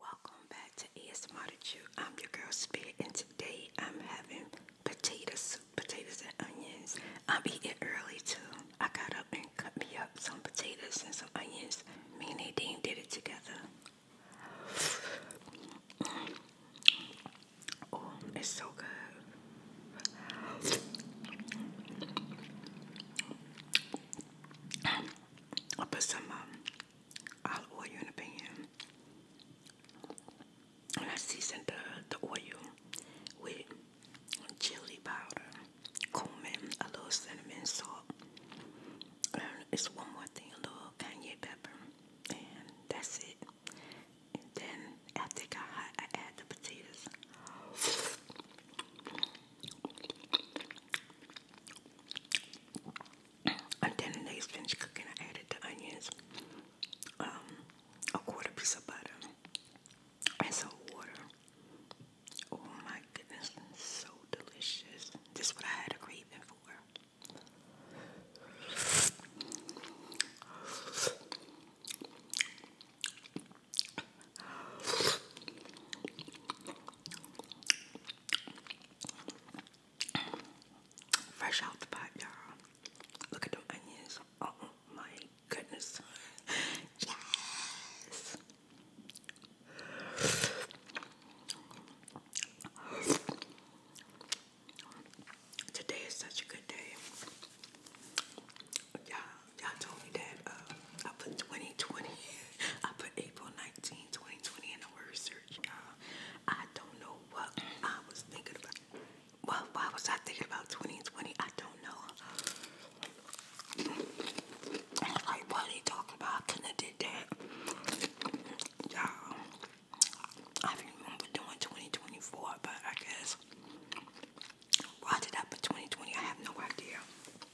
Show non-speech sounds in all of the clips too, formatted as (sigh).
Welcome back to ASMR Chew. I'm your girl Spirit, and today I'm having potato soup, potatoes and onions. I'm eating early too. I got up and cut me up some potatoes and some onions. Me and Nadine did it together. Oh, it's so good. I put some um, olive oil in a pan. I seasoned the, the oil with chili powder, cumin, a little cinnamon, salt, it's one more thing, a little cayenne pepper, and that's it. And then after it got hot, I add the potatoes. And then when they finished cooking, I added the onions, um, a quarter piece of butter, and some water. Oh my goodness, so delicious. This is what I had a craving for. Fresh out the pot, y'all. Look at the onions. Oh my goodness. (laughs) Yes. Today is such a good day. Y'all, y'all told me that uh, I 2020, I put April 19 2020 and the word search, y'all. I don't know what I was thinking about. Well, why was I thinking about 2020? I don't know. like, what are they talking about? I did that. Y'all, I remember doing 2024, but I guess, why did I put 2020? I have no idea.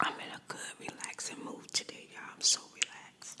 I'm in a good relaxing mood today, y'all. I'm so relaxed.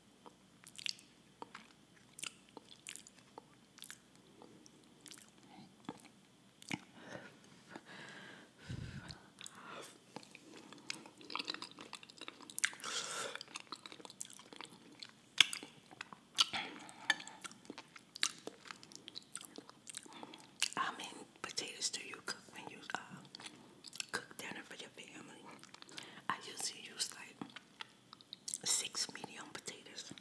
How many potatoes do you cook when you uh, cook dinner for your family? I usually use like six medium potatoes.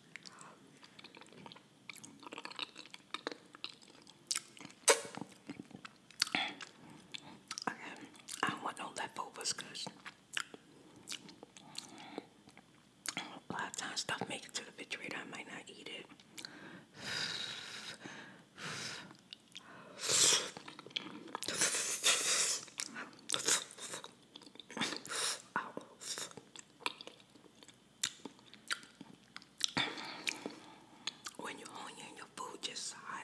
I, I don't want no because a lot of times stuff makes it to the refrigerator. I might not eat it. When you're hungry and your food just hot.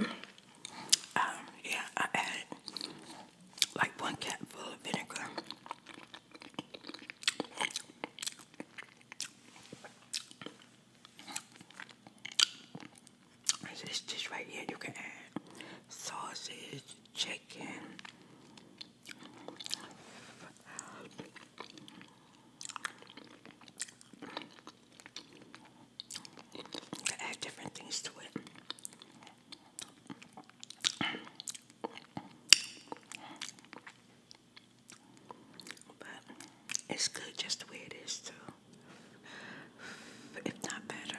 Um, yeah, I added like one cap of vinegar. This dish right here, you can add sausage, chicken, add different things to it. But it's good just the way it is, too. If not better.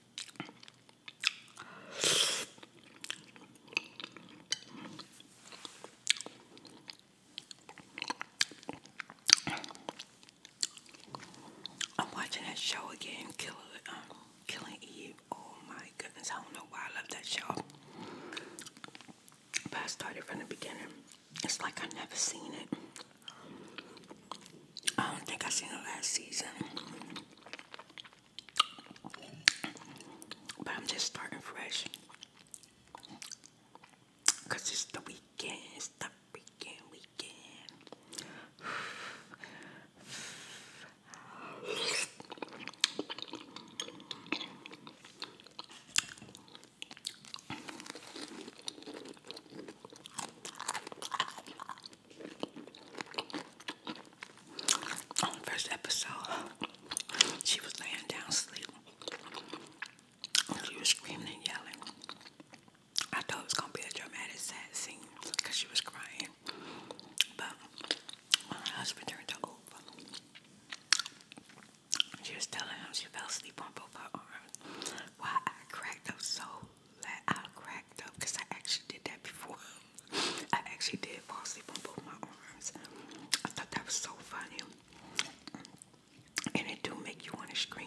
I'm watching that show again, Killer, um, Killing Eve. Oh my goodness, I don't know why I love that show. But I started from the beginning. It's like I've never seen it. I don't think I've seen the last season. But I'm just starting fresh. Cause it's the weekend, it's the weekend, weekend first episode, she was laying down asleep. She was screaming and yelling. I thought it was gonna be a dramatic sad scene because she was crying. But when her husband turned her over, she was telling him she fell asleep on both her Why I cracked up so like I cracked up because I actually did that before. (laughs) I actually did fall asleep on both my arms. I thought that was so funny. And it do make you want to scream.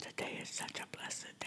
Today is such a blessed day.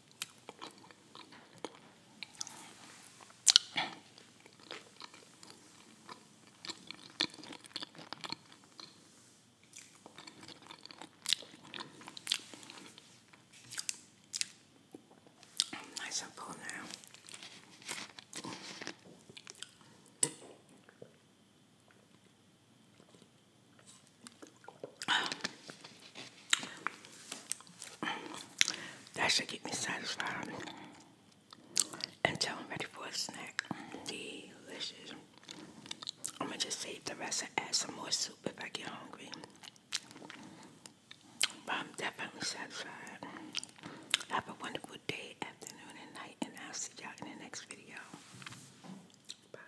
i Nice so full now. That should get me satisfied until I'm ready for a snack. Delicious. I'm gonna just save the rest and add some more soup if I get hungry. But I'm definitely satisfied. Have a wonderful day, afternoon, and night, and I'll see y'all in the next video. Bye.